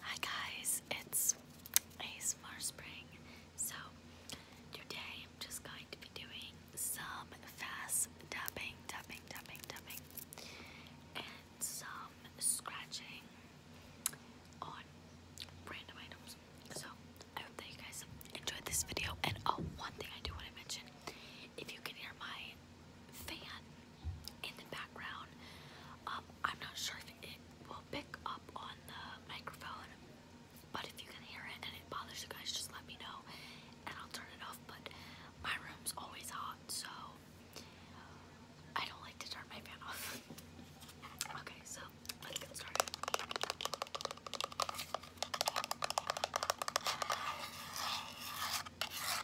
Hi guys, it's ASMR Spring. So today I'm just going to be doing some fast tapping, tapping, tapping, tapping, and some scratching on random items. So I hope that you guys enjoyed this video. And oh, one thing I do want to mention: if you can hear my fan in the background. Um, I'm not sure if it will pick up on the microphone, but if you can hear it and it bothers you guys, just let me know and I'll turn it off. But my room's always hot, so I don't like to turn my fan off. okay, so let's get started.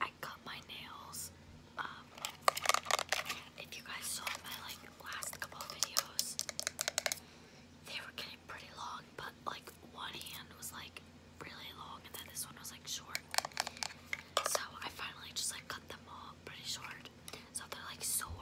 I cut my nails. Um, if you guys saw my like last couple videos, they were getting pretty long, but like one hand was like really long and then this one was like short. So I finally just like cut them all pretty short. So they're like sore.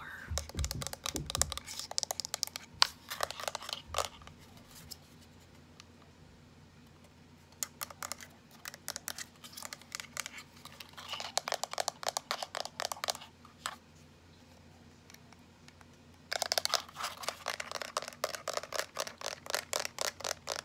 I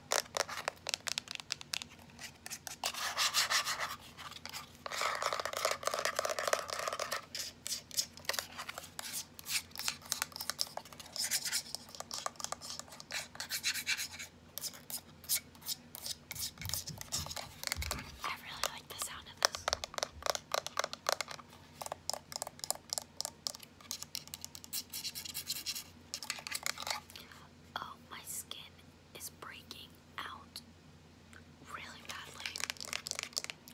really like the sound of this. Oh, my skin is breaking out really badly.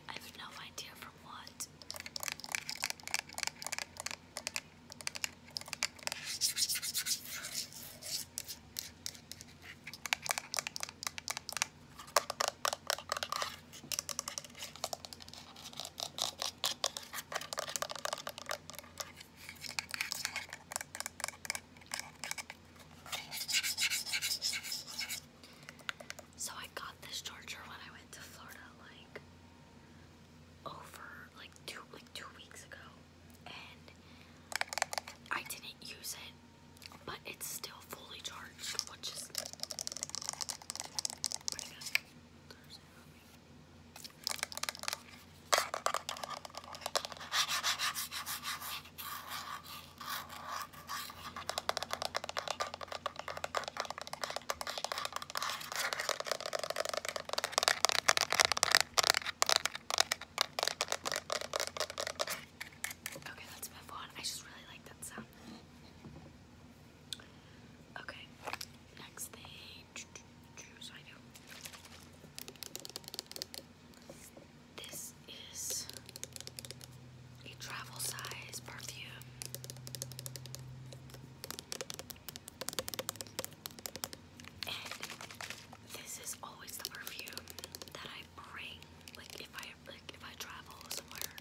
I have no idea from what. So I got this charger when I went to Florida like over like two like two weeks ago and I didn't use it but it's still fully charged which is Okay, let's move on. I just really like that sound. Okay, next thing. This is a travel size perfume. And this is always the perfume that I bring. Like if I like if I travel somewhere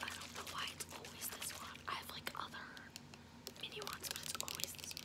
I don't know why it's always this one. I have like other mini ones, but it's always this one.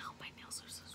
Ow, my nails are so sore.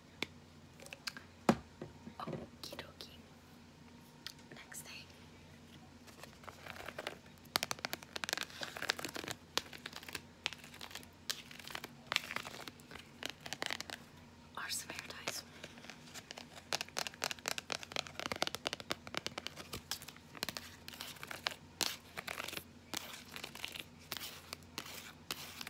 Okie dokie. Next thing. Are some hair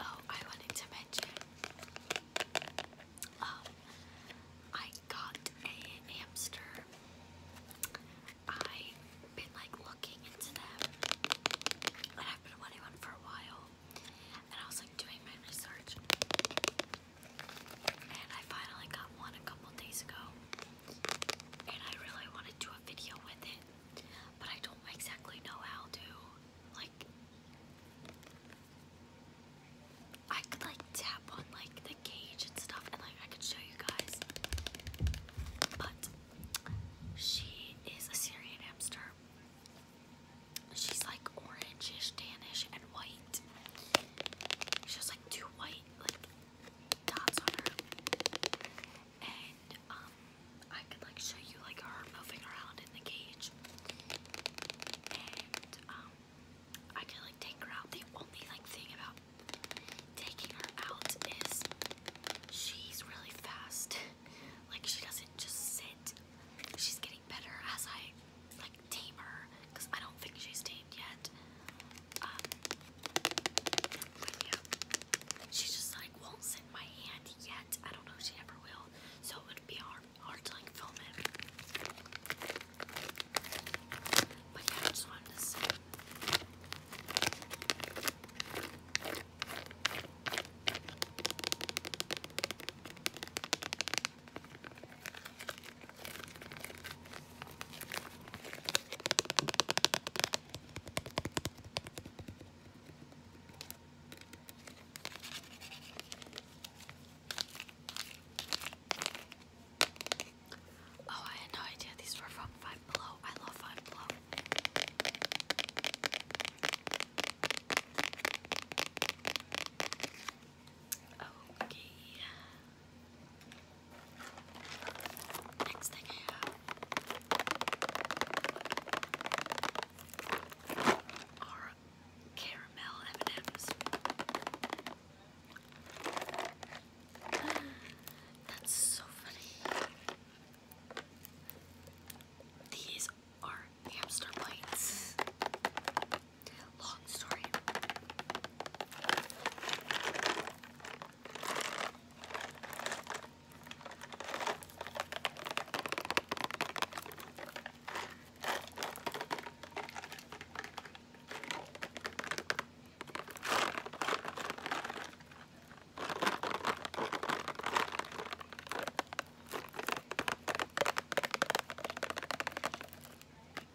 Oh, I wanted to mention. Um, I got a hamster. I've been like looking into them, and I've been wanting one for a while. And I was like doing my research, and I finally got one a couple days ago and I really want to do a video with it, but I don't exactly know how to. Like, I could like tap on like the cage and stuff, and like I could show you guys. But she is a Syrian hamster. She's like orangish, tanish, and white. She's like too white, like and um I could like show you like her moving around in the cage. And um I could like take her out. The only like thing about taking her out is she's really fast. like she doesn't just sit. She's getting better as I like tame her because I don't think she's tamed yet. Um, just like won't sit my hand yet. I don't know she ever will, so it would be hard, hard to like film it. But yeah, just wanted to say. Oh, I had no idea these were from Five Below. I love Five Below. Okay. Next thing I have are caramel M&M's. That's so funny. These are hamster bites. Long story.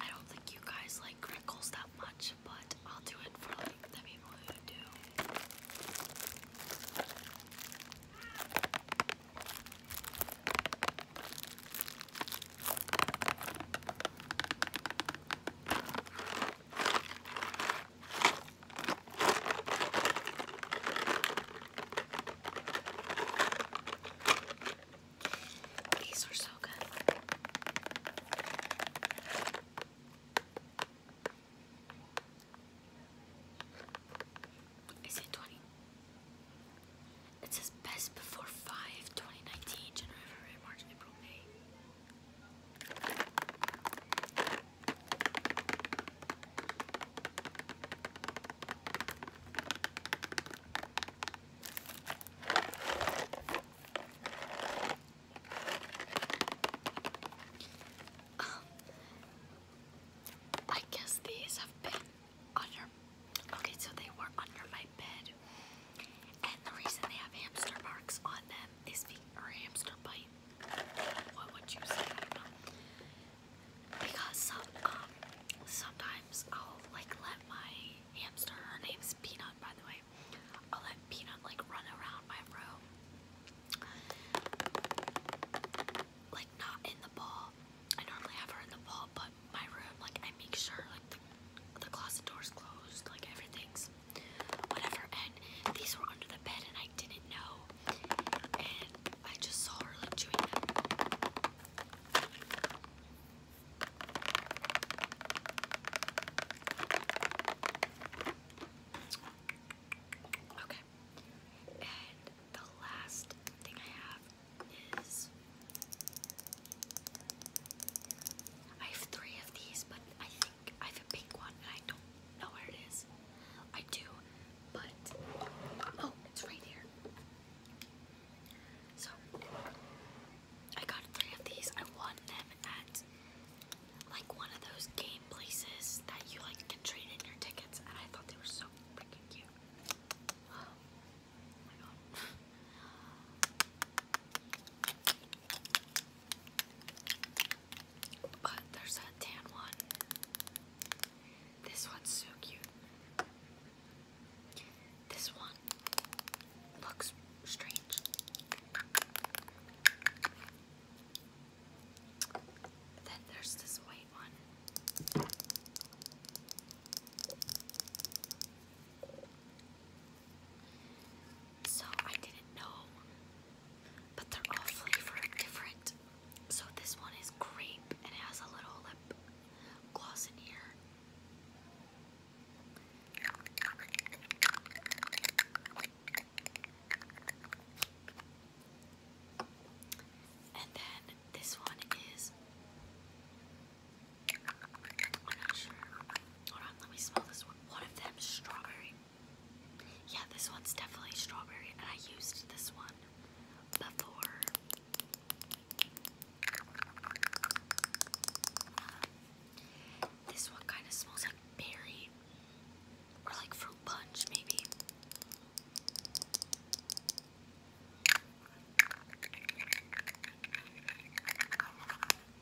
I don't think you guys like crinkles that much, but I'll do it for like the people who do. These are so good. Is it 20? It says best before 5, 2019, January, February, March, April, May. Um, I guess these have been under. Okay, so they were under my bed, and the reason they have hamster marks on them is be or hamster bite what would you say? Because um, sometimes I'll like let my hamster, her name's Peanut by the way, I'll let Peanut like run around my room. Like not in the ball. I normally have her in the ball, but my room, like I make sure like the closet door's closed, like everything's whatever. And these were under the bed and I didn't know I just saw her like chewing them. Okay, and the last thing I have is I have three of these, but I think I have a pink one and I don't know where it is. I do, but oh, it's right here. So I got three of these. I won them at like one of those game places that you like can trade in your tickets, and I thought they were so freaking cute. Oh my god. But there's that tan one. This one's so cute. This one looks strange. Then there's this white one. So I didn't know, but they're all flavor different. So this one is grape and it has a little lip gloss in here. And then this one is. I'm not sure. Hold on, let me smell this one. One of them is strawberry. Yeah, this one's definitely strawberry, and I used this one before. Um, this one kind of smells like berry or like fruit punch, maybe.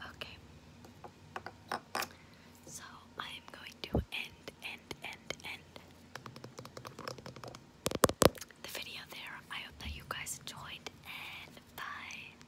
Okay. So I am going to end, end, end, end the video there. I hope that you guys enjoyed and bye.